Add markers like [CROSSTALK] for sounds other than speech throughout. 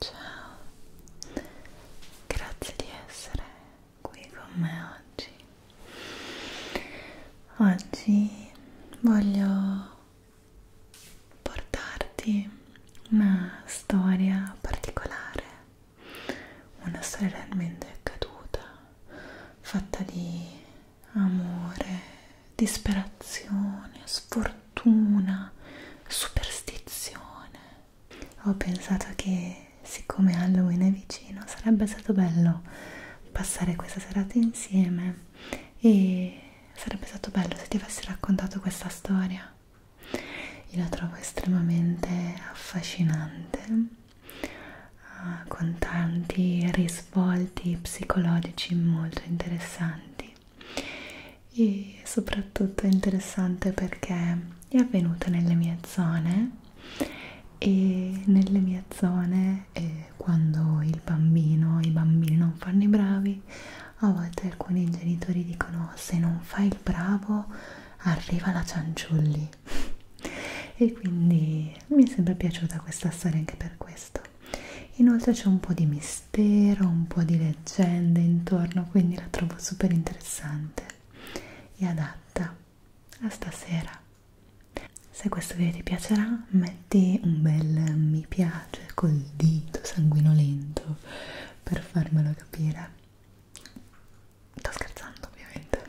Ciao, grazie di essere qui con me oggi. Oggi voglio portarti una storia particolare, una storia realmente accaduta, fatta di amore, disperazione, sfortuna, superstizione. Ho pensato che siccome Halloween è vicino sarebbe stato bello passare questa serata insieme e sarebbe stato bello se ti avessi raccontato questa storia. Io la trovo estremamente affascinante eh, con tanti risvolti psicologici molto interessanti Garibaldi e soprattutto è interessante perché è avvenuta nelle mie zone e nelle mie zone eh, quando il bambino, i bambini non fanno i bravi a volte alcuni genitori dicono se non fai il bravo arriva la cianciulli [LAUGHS] e quindi mi è sempre piaciuta questa storia anche per questo Inoltre c'è un po' di mistero, un po' di leggende intorno, quindi la trovo super interessante e adatta a stasera. Se questo video ti piacerà, metti un bel mi piace col dito sanguinolento per farmelo capire. Sto scherzando, ovviamente.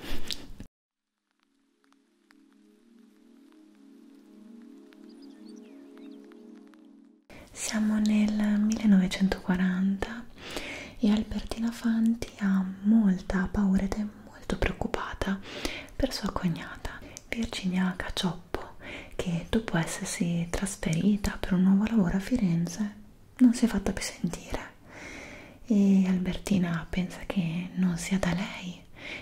Siamo nel 1940 e Albertina Fanti ha molta paura ed è molto preoccupata per sua cognata Virginia Cacioppo che dopo essersi trasferita per un nuovo lavoro a Firenze non si è fatta più sentire e Albertina pensa che non sia da lei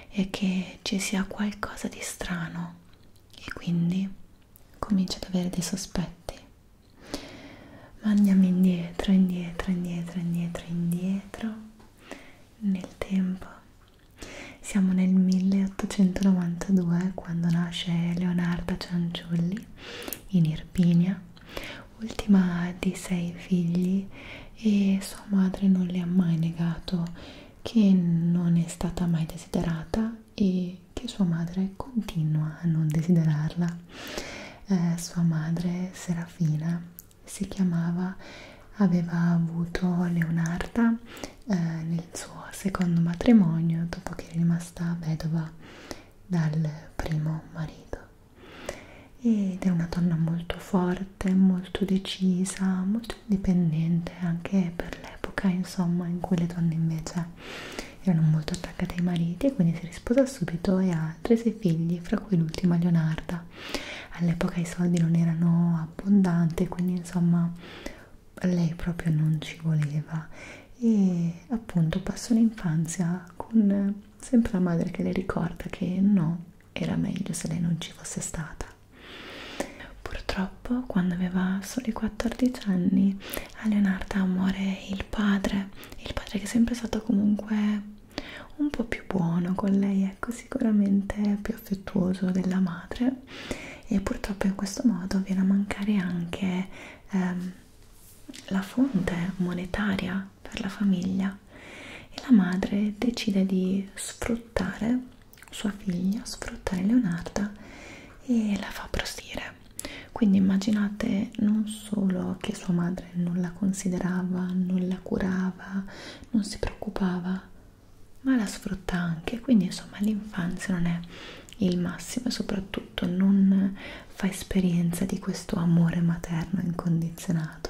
e che ci sia qualcosa di strano no e quindi comincio ad avere dei sospetti ma andiamo indietro indietro indietro indietro indietro nel tempo siamo nel 1892 quando nasce Leonarda Cianciulli in Irpinia ultima di sei figli e sua madre non le ha mai negato che non è stata mai desiderata e che sua madre continua a non desiderarla. Eh, sua madre, Serafina, si chiamava, aveva avuto Leonarda eh, nel suo secondo matrimonio dopo che è rimasta vedova dal primo marito. Ed è una donna molto forte, molto decisa, molto molto indipendente anche per l'epoca insomma in cui le donne invece erano molto attaccate ai mariti e quindi si risposa subito e ha tre sei figli fra cui l'ultima Leonarda all'epoca i soldi non erano abbondanti quindi insomma lei proprio non ci voleva e appunto passò l'infanzia con sempre la madre che le ricorda che no era meglio se lei non ci fosse stata Purtroppo, quando aveva soli 14 anni, a Leonarda muore il padre, il padre che è sempre stato comunque un po' più buono con lei, ecco, sicuramente più affettuoso della madre, e purtroppo in questo modo viene a mancare anche ehm, la fonte monetaria per la famiglia e la madre decide di sfruttare sua figlia sfrutta Leonarda e la fa prostire. Quindi immaginate non solo che sua madre non la considerava, non la curava, non si preoccupava, ma la sfrutta anche. Quindi insomma l'infanzia non è il massimo e soprattutto non fa esperienza di questo amore materno incondizionato.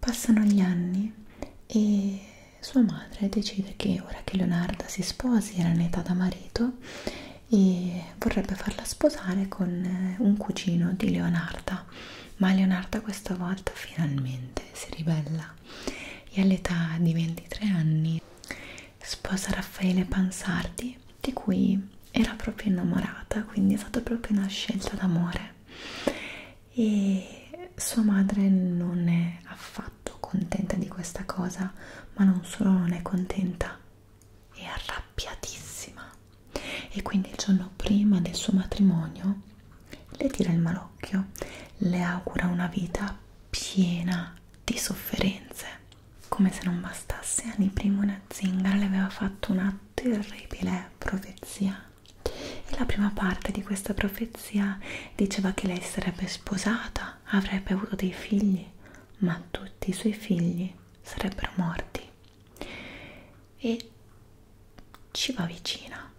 Passano gli anni e sua madre decide che ora che Leonarda si sposi, era in età da marito, e vorrebbe farla sposare con eh, un cugino di Leonarda. Ma Leonarda questa volta finalmente si ribella e all'età di 23 anni sposa Raffaele Pansardi di cui era proprio innamorata, quindi è stata proprio una scelta d'amore e sua madre non è affatto contenta di questa cosa, ma non solo non è contenta, è arrabbiatissima e quindi il giorno prima del suo matrimonio le tira il malocchio, le augura una vita piena di sofferenze. Come se non bastasse, anni prima una zingara le aveva fatto una terribile profezia e la prima parte di questa profezia diceva che lei sarebbe sposata, avrebbe avuto dei figli, ma tutti i suoi figli sarebbero morti. E ci va vicina,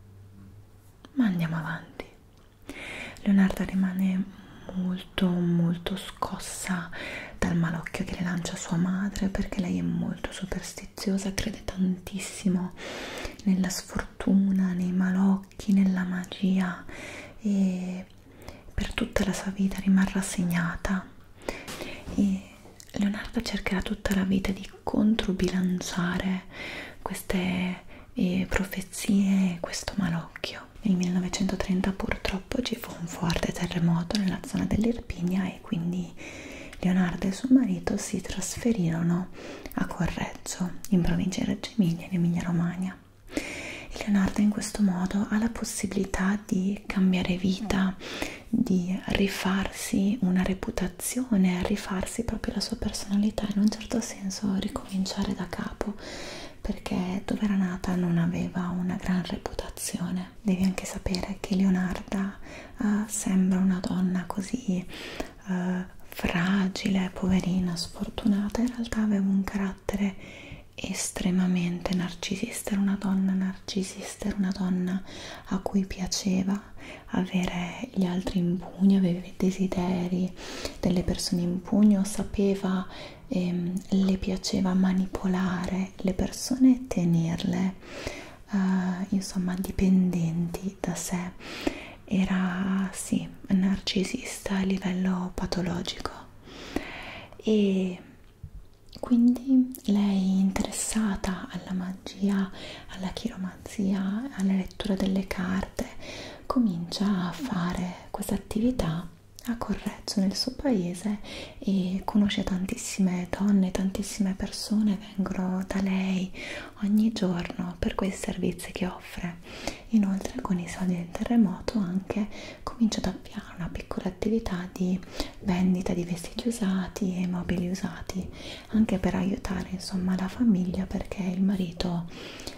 ma andiamo avanti. Leonarda rimane molto molto scossa dal malocchio che le lancia sua madre perché lei è molto superstiziosa crede tantissimo nella sfortuna, nei malocchi, nella magia e per tutta la sua vita rimarrà segnata e Leonardo cercherà tutta la vita di controbilanciare queste eh, profezie e questo malocchio. Nel 1930 purtroppo ci fu un forte terremoto nella zona dell'Irpinia e quindi Leonardo e suo marito si trasferirono a Corredo Viareggio, in provincia di Reggio Emilia, in Emilia Romagna. E Leonardo in questo modo ha la possibilità di cambiare vita, di rifarsi una reputazione, rifarsi proprio la sua personalità, in un certo senso ricominciare da capo, perché dove era nata non aveva una gran reputazione. Devi anche sapere che Leonarda uh, sembra una donna così eh, fragile, poverina, sfortunata, in realtà aveva un carattere estremamente narcisista, era una donna narcisista, era una donna a cui piaceva avere gli altri in pugno, aveva i desideri delle persone in pugno, sapeva, ehm, le piaceva manipolare le persone e tenerle. Uh, insomma dipendenti fuori da sé, era sì, narcisista a livello patologico e quindi lei interessata alla magia, alla chiromanzia, alla lettura delle carte, comincia a fare questa attività a Correzzo nel suo paese e conosce tantissime donne, tantissime persone vengono da lei, ogni giorno per quei servizi che offre. Inoltre con i soldi del terremoto anche comincia ad avviare una piccola attività di vendita di vestiti usati e mobili usati, anche per aiutare insomma la famiglia perché il marito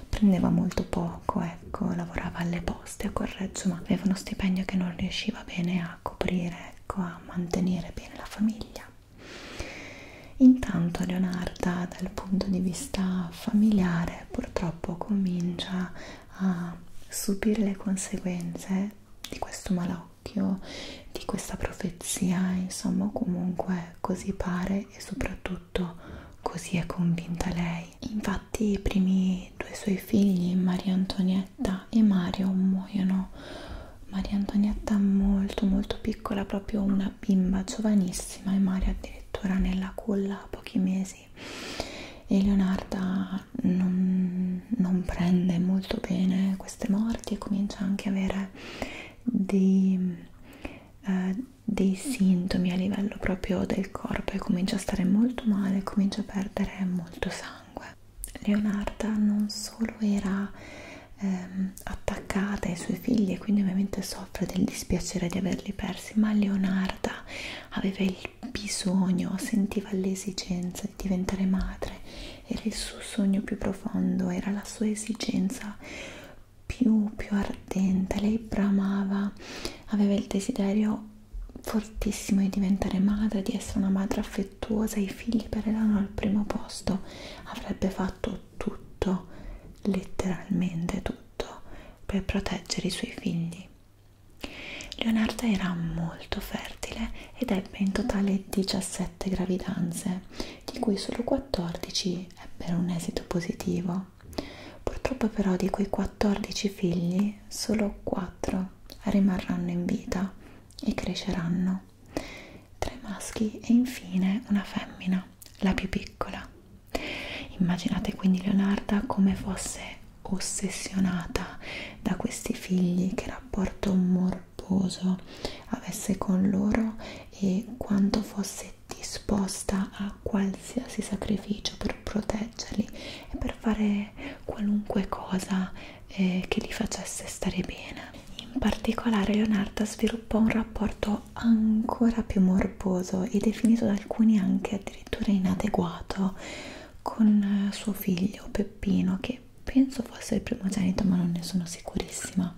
prendeva molto poco, ecco, lavorava alle poste a Correggio, ma aveva uno stipendio che non riusciva bene a coprire, ecco, a mantenere bene la famiglia. Intanto Leonarda dal punto di vista familiare purtroppo comincia a subire le conseguenze di questo malocchio, di questa profezia, insomma comunque così pare e soprattutto così è convinta lei. Infatti i primi due suoi figli, Maria Antonietta e Mario, muoiono. Maria Antonietta molto molto piccola, proprio una bimba giovanissima e Mario addirittura nella culla a pochi mesi e Leonarda non, non prende molto bene queste morti e comincia anche a avere dei, eh, dei sintomi a livello proprio del corpo e comincia a stare molto male, comincia a perdere molto sangue. Leonarda non solo era ehm, attaccata ai suoi figli e quindi ovviamente soffre del dispiacere di averli persi, ma Leonarda aveva il bisogno, sentiva l'esigenza di diventare madre, era il suo sogno più profondo, era la sua esigenza più, più ardente, lei bramava, aveva il desiderio fortissimo di diventare madre, di essere una madre affettuosa, i figli per erano al primo posto, avrebbe fatto tutto, letteralmente tutto, per proteggere i suoi figli. Leonarda era molto fertile ed ebbe in totale 17 gravidanze, di cui solo 14 ebbero un esito positivo. Purtroppo però di quei 14 figli solo 4 rimarranno in vita e cresceranno, tre maschi e infine una femmina la più piccola. Immaginate quindi Leonarda come fosse ossessionata da questi figli, che rapporto morboso avesse con loro e quanto fosse disposta a qualsiasi sacrificio per proteggerli e per fare qualunque cosa eh, che li facesse stare bene. In particolare Leonarda sviluppò un rapporto renderlo ancora più morboso e definito da alcuni anche addirittura inadeguato con eh, suo figlio Peppino che penso fosse il primogenito ma non ne sono sicurissima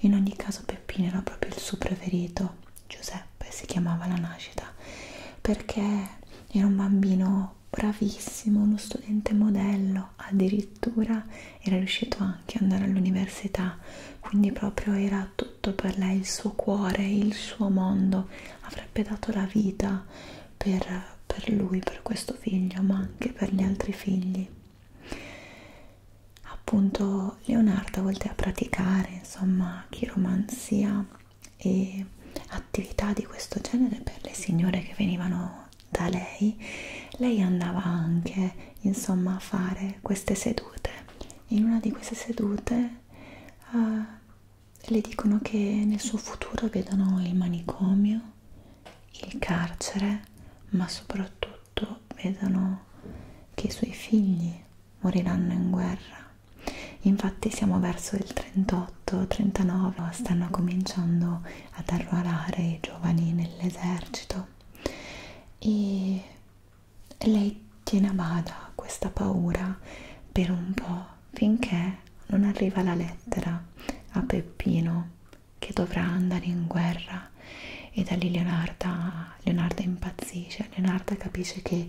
in ogni caso Peppino era proprio il suo preferito Giuseppe si chiamava alla nascita perché era un bambino bravissimo uno studente modello addirittura era riuscito a che andare all'università, quindi proprio era tutto per lei, il suo cuore, il suo mondo, avrebbe dato la vita per, per lui, per questo figlio, ma anche per gli altri figli. Appunto Leonardo volte a praticare insomma chiromanzia e attività di questo genere per le signore che venivano da lei, lei andava anche insomma a fare queste sedute in una di queste sedute uh, le dicono che nel suo futuro vedono il manicomio il carcere ma soprattutto vedono che i suoi figli moriranno in guerra infatti siamo verso il 38 39 stanno cominciando ad arruolare i giovani nell'esercito e lei tiene a bada questa paura per un po' finché non arriva la lettera a Peppino che dovrà andare in guerra e da lì Leonarda, Leonarda impazzisce, Leonarda capisce che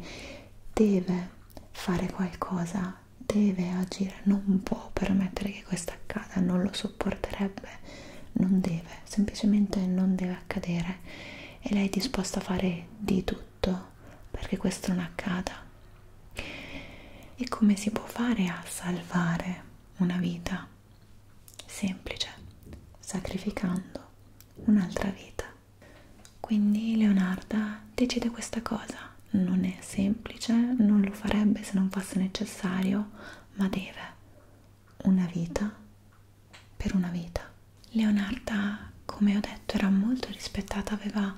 deve fare qualcosa, deve agire, non può permettere che questo accada, non lo sopporterebbe, non deve semplicemente non deve accadere e lei è disposta a fare di tutto perché questo non accada. E come si può fare a salvare una vita? Semplice, sacrificando un'altra vita. Quindi Leonarda decide questa cosa, non è semplice, non lo farebbe se non fosse necessario, ma deve una vita per una vita. Leonarda, come ho detto, era molto rispettata, aveva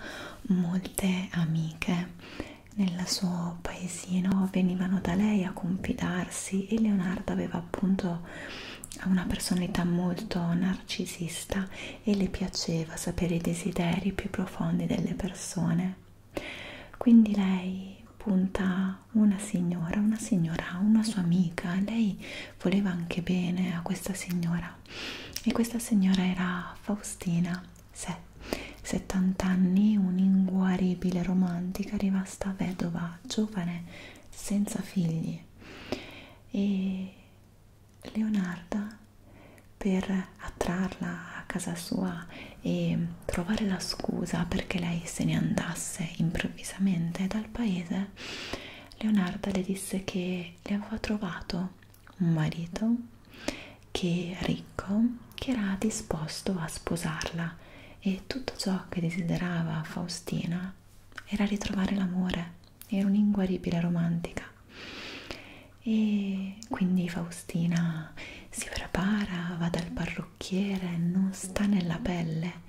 molte amiche nel suo paesino, venivano da lei a confidarsi e Leonarda aveva appunto una personalità molto narcisista e le piaceva sapere i desideri più profondi delle persone. Quindi lei punta una signora, una signora, una sua amica, lei voleva anche bene a questa signora e questa signora era Faustina, se, 70 anni, un'inguaribile romantica rimasta vedova, giovane, senza figli e Leonarda per attrarla a casa sua e trovare la scusa perché lei se ne andasse improvvisamente dal paese, Leonarda le disse che le aveva trovato un marito che ricco, che era disposto a sposarla e tutto ciò che desiderava Faustina era ritrovare l'amore, era un'inguaribile romantica e quindi Faustina si prepara, va dal parrucchiere parrucchiere non sta nella pelle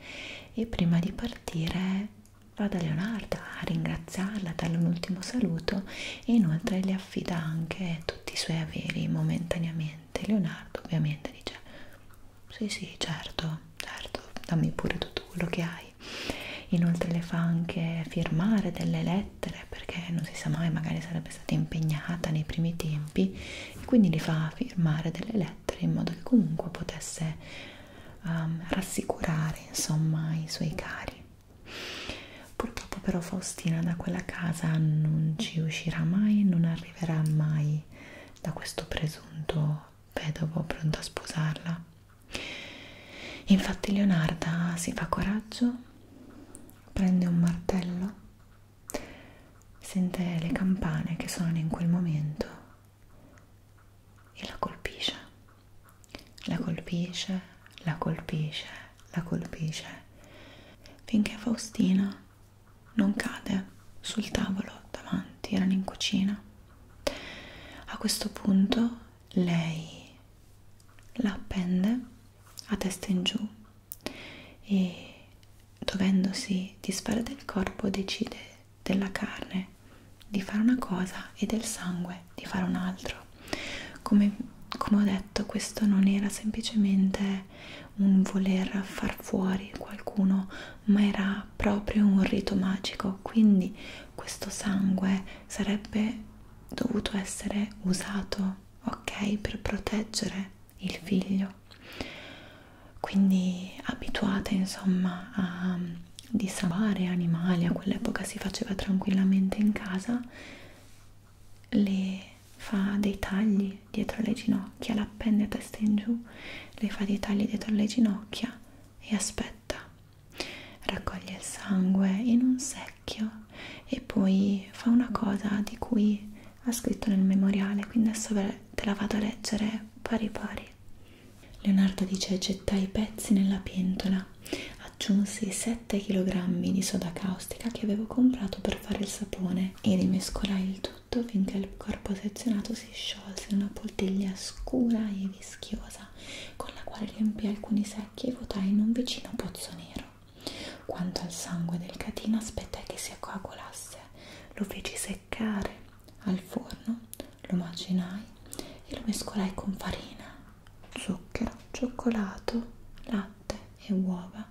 e prima di partire va da Leonarda a ringraziarla, darle un ultimo saluto e inoltre le affida anche tutti i suoi averi momentaneamente. Leonardo ovviamente dice sì sì certo, certo, dammi pure tutto quello che hai. Inoltre le fa anche firmare delle lettere perché non si sa mai, magari sarebbe stata impegnata nei primi tempi e quindi le fa firmare delle lettere mettere in modo che comunque potesse um, rassicurare insomma i suoi cari. Purtroppo però Faustina da quella casa non ci uscirà mai, non arriverà mai da questo presunto vedovo pronto a sposarla. Infatti Leonarda si fa coraggio, prende un martello sente le campane che suonano in quel momento e la colpisce, la colpisce, la colpisce, la colpisce, finché Faustina non cade sul tavolo davanti, erano in cucina. A questo punto lei la appende a testa in giù e dovendosi disfare del corpo decide della carne di fare una cosa e del sangue di fare un altro. Come, come ho detto, questo non era semplicemente un voler far fuori qualcuno, ma era proprio un rito magico, quindi questo sangue sarebbe dovuto essere usato, ok, per proteggere il figlio quindi abituate insomma a mm, disabare animali a quell'epoca si faceva tranquillamente in casa le fa dei tagli dietro le ginocchia l'appende testa in giù le fa dei tagli dietro le ginocchia e aspetta raccoglie il sangue in un secchio e poi fa una cosa di cui ha scritto nel memoriale, quindi adesso te la vado a leggere pari pari. Leonardo dice gettai i pezzi nella pentola, aggiunsi 7 kg di soda caustica che avevo comprato per fare il sapone e rimescolai il tutto finché il corpo sezionato si sciolse in una poltiglia scura e vischiosa con la quale riempì alcuni secchi e vuotai in un vicino pozzo nero. Quanto al sangue del catino aspettai che si coagulasse, lo feci seccare seccare al forno, lo macinai e lo mescolai con farina, zucchero, cioccolato, latte e uova,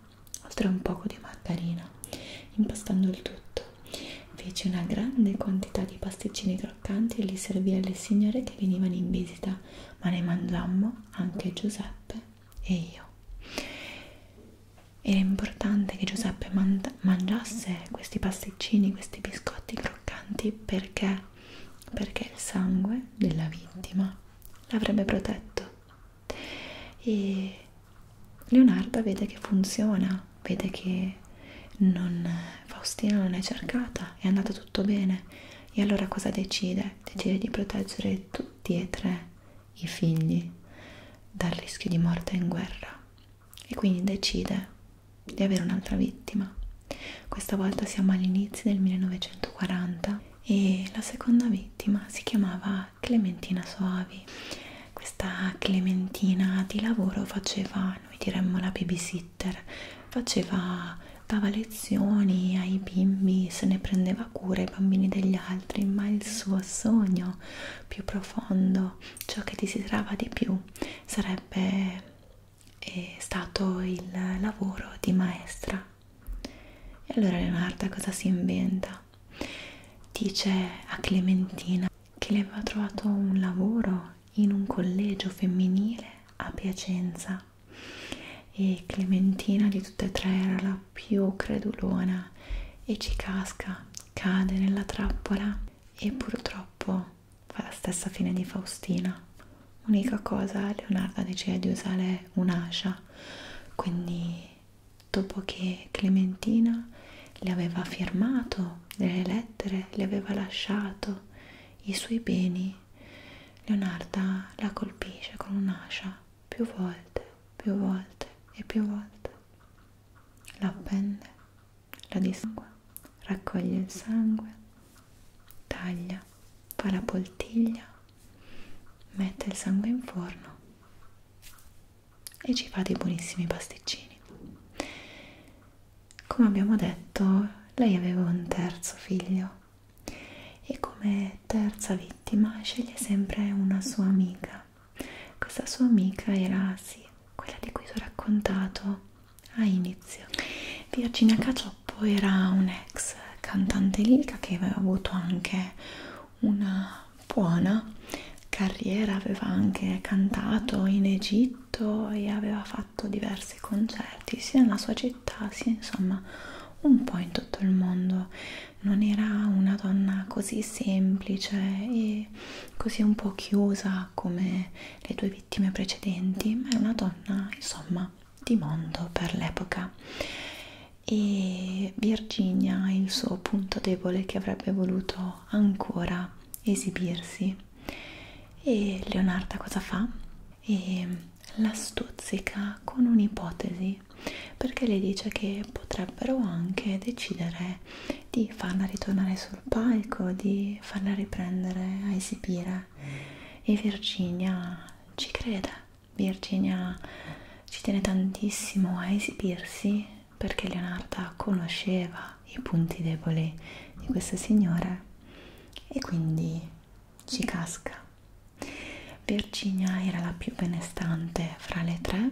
oltre a un poco di margarina. Impastando il tutto, feci una grande quantità di pasticcini croccanti e li servì alle signore che venivano in visita, ma ne mangiammo anche Giuseppe e io era importante che Giuseppe mangiasse questi pasticcini, questi biscotti croccanti perché, perché il sangue della vittima l'avrebbe protetto e Leonarda vede che funziona, vede che non, Faustina non è cercata, è andato tutto bene e allora cosa decide? Decide di proteggere tutti e tre i figli dal rischio di morte in guerra e quindi decide di avere un'altra vittima. Questa volta siamo all'inizio del 1940 e la seconda vittima si chiamava Clementina Soavi. Questa Clementina di lavoro faceva, noi diremmo la babysitter, faceva, dava lezioni ai bimbi, se ne prendeva cura ai bambini degli altri, ma il suo sogno più profondo però ciò che desiderava di più sarebbe eh, stato il lavoro di maestra. E allora Leonardo cosa si inventa? Dice a Clementina che le aveva trovato un lavoro in un collegio femminile a Piacenza e Clementina di tutte e tre era la più credulona e ci casca cade nella trappola e purtroppo fa la stessa fine di Faustina. Unica cosa, Leonardo decide di usare un'ascia, quindi dopo che Clementina le aveva firmato delle lettere, le aveva lasciato i suoi beni, Leonarda la colpisce con un'ascia più volte, più volte e più volte la appende, la disangua, raccoglie il sangue, taglia, fa la poltiglia, mette il sangue in forno e ci fa dei buonissimi pasticcini. Come abbiamo detto, lei aveva un terzo figlio e come terza vittima sceglie sempre una sua amica anno. Questa sua amica era, sì, quella di cui vi ho raccontato a inizio. Virginia Cacioppo era un'ex cantante lirica che aveva avuto anche una buona carriera, aveva anche cantato in Egitto e aveva fatto diversi concerti sia nella sua città sia insomma un po' in tutto il mondo. Non era una donna così semplice e magari così un po' chiusa come le due vittime precedenti, ma è una donna insomma di mondo per l'epoca e Virginia è il suo punto debole che avrebbe voluto ancora esibirsi e Leonarda cosa fa? E la stuzzica con un'ipotesi perché le dice che potrebbero anche decidere di farla ritornare sul palco, di farla riprendere a esibire e Virginia ci crede. Virginia ci tiene tantissimo a esibirsi perché Leonarda conosceva i punti deboli di questa signora e quindi ci casca. Virginia era la più benestante fra le tre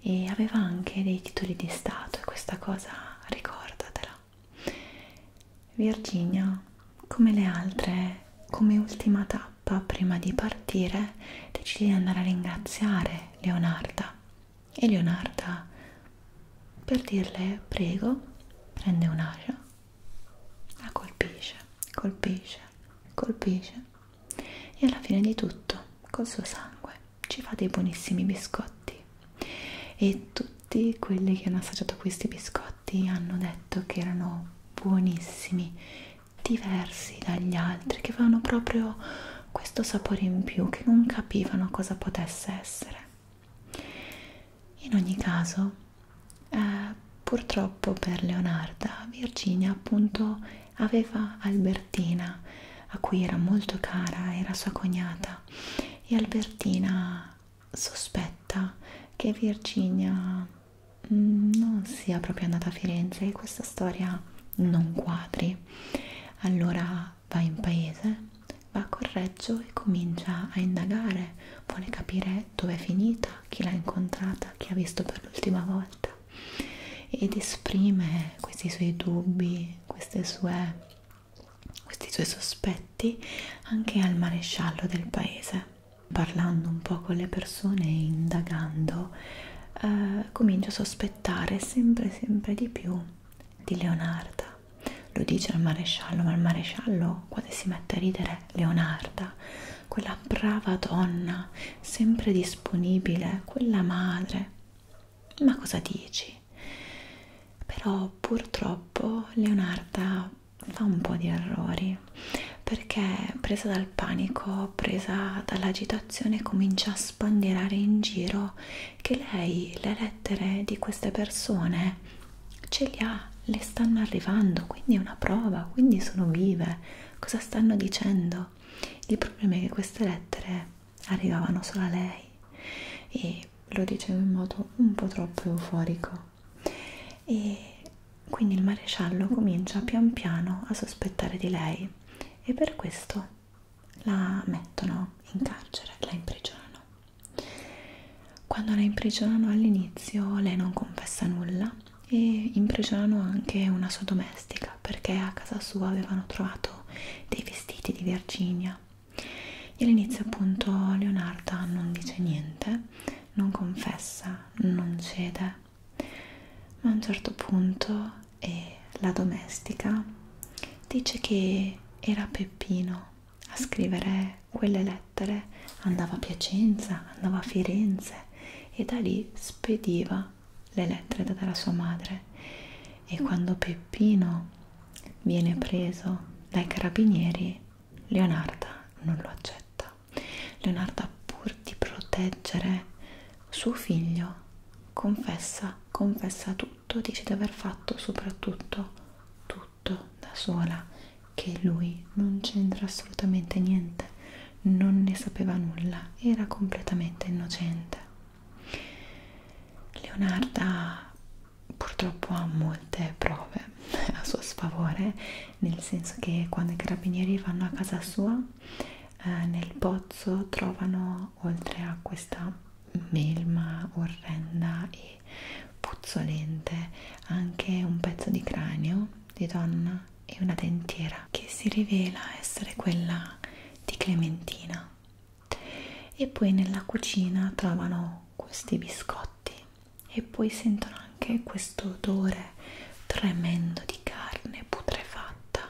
e aveva anche dei titoli di stato e questa cosa ricordatela. Virginia, come le altre, come ultima tappa prima di partire, decide di andare a ringraziare Leonarda e Leonarda per dirle prego prende un'aria, la colpisce, colpisce, colpisce e alla fine di tutto col suo sangue ci fa dei buonissimi biscotti e tutti quelli che hanno assaggiato questi biscotti hanno detto che erano buonissimi diversi dagli altri che avevano proprio questo sapore in più che non capivano cosa potesse essere in ogni caso eh, purtroppo per Leonarda Virginia appunto aveva Albertina a cui era molto cara, era sua cognata e Albertina sospetta che Virginia mm, non sia proprio andata a Firenze e questa storia non quadri. Allora va in paese, va a Correggio e comincia a indagare, vuole capire dove è finita, chi l'ha incontrata, chi ha visto per l'ultima volta ed esprime questi suoi dubbi, sue, questi suoi sospetti anche al maresciallo del paese. Parlando un po' con le persone e indagando, eh, comincia a sospettare sempre sempre di più di Leonarda. Lo dice al maresciallo, ma il maresciallo quando si mette a ridere Leonarda, quella brava donna, sempre disponibile, quella madre ma cosa dici? Però purtroppo Leonarda fa un po' di errori perché presa dal panico, presa dall'agitazione, comincia a spandierare in giro che lei le lettere di queste persone ce le ha, le stanno arrivando, quindi è una prova, quindi sono vive. Cosa stanno dicendo? Il problema è che queste lettere arrivavano solo a lei e lo dicevo in modo un po' troppo euforico e quindi il maresciallo comincia pian piano a sospettare di lei e per questo la mettono in carcere, la imprigionano. Quando la imprigionano all'inizio lei non confessa nulla e imprigionano anche una sua domestica America perché a casa sua avevano trovato dei vestiti di Virginia e all'inizio appunto Leonarda non dice niente, non confessa, non cede, ma a un certo punto eh, la domestica dice che era Peppino a scrivere quelle lettere, andava a Piacenza, andava a Firenze e da lì spediva le lettere date da sua madre e quando Peppino viene preso dai carabinieri Leonarda non lo accetta. Leonarda pur di proteggere suo figlio confessa, confessa tutto, dice di aver fatto soprattutto tutto da sola, che lui non c'entra assolutamente niente, non ne sapeva nulla, era completamente innocente. Leonarda purtroppo ha molte prove a suo sfavore, nel senso che quando i carabinieri vanno a casa sua, eh, nel pozzo trovano oltre a questa melma orrenda e puzzolente anche un pezzo di cranio di donna e una dentiera che si rivela essere quella di Clementina e poi nella cucina trovano questi biscotti e poi sentono anche questo odore tremendo di carne putrefatta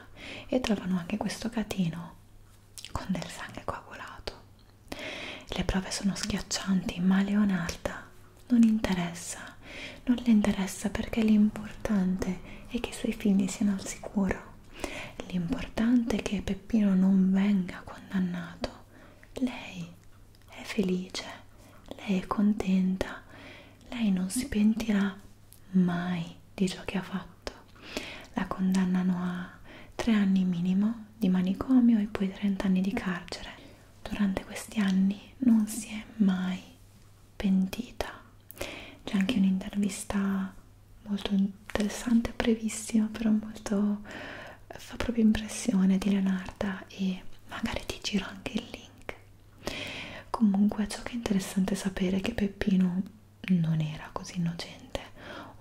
e trovano anche questo catino con del sangue coagulato. Le prove sono schiaccianti, ma Leonarda non interessa, non le interessa perché l'importante è che i suoi figli siano al sicuro L'importante è che Peppino non venga condannato. Lei è felice, lei è contenta, lei non si pentirà mai di ciò che ha fatto. La condannano a tre anni minimo di manicomio e poi 30 anni di carcere. Durante questi anni non si è mai pentita c'è anche un'intervista molto interessante brevissima però molto fa proprio impressione di Leonarda e magari ti giro anche il link comunque ciò che è interessante sapere è che Peppino non era così innocente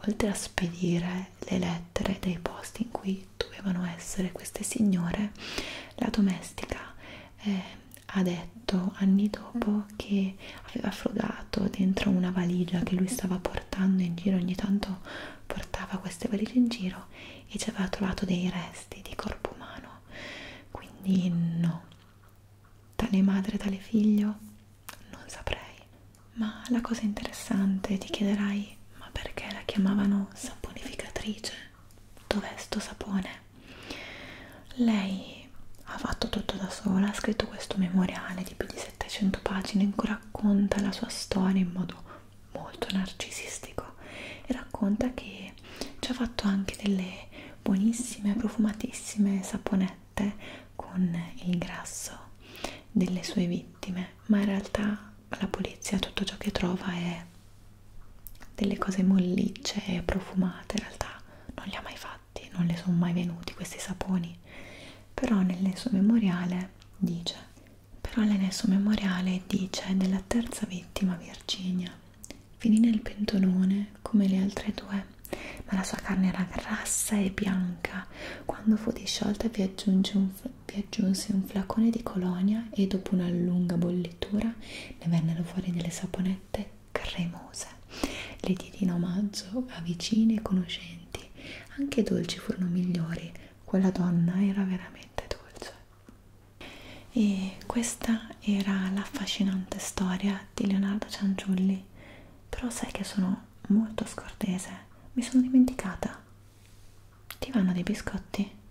oltre a spedire le lettere dei posti in cui dovevano essere queste signore la domestica eh, ha detto anni dopo mm. che aveva frugato dentro una valigia che lui stava portando in giro, ogni tanto portava queste valigie in giro e ci aveva trovato dei resti di corpo umano, quindi no, tale madre, tale figlio, non saprei. Ma la cosa interessante, ti chiederai, ma perché la chiamavano saponificatrice? Dov'è sto sapone? lei ha fatto tutto da sola, ha scritto questo memoriale di più di 700 pagine in cui racconta la sua storia in modo molto narcisistico e racconta che ci ha fatto anche delle buonissime, profumatissime saponette con il grasso delle sue vittime, ma in realtà la polizia tutto ciò che trova è delle cose mollicce e profumate, in realtà non le ha mai fatte fatti, non le sono mai venuti questi saponi, però nel suo memoriale dice però nel suo memoriale dice della terza vittima Virginia finì nel pentolone come le altre due ma la sua carne era grassa e bianca quando fu disciolta vi aggiunse un, un flacone di colonia e dopo una lunga bollitura ne vennero fuori delle saponette cremose. Le diedi in omaggio a vicini e conoscenti, anche dolci furono migliori, quella donna era veramente dolce. E questa era l'affascinante storia di Leonardo Cianciulli, però sai che sono molto scortese, mi sono dimenticata. Ti vanno dei biscotti?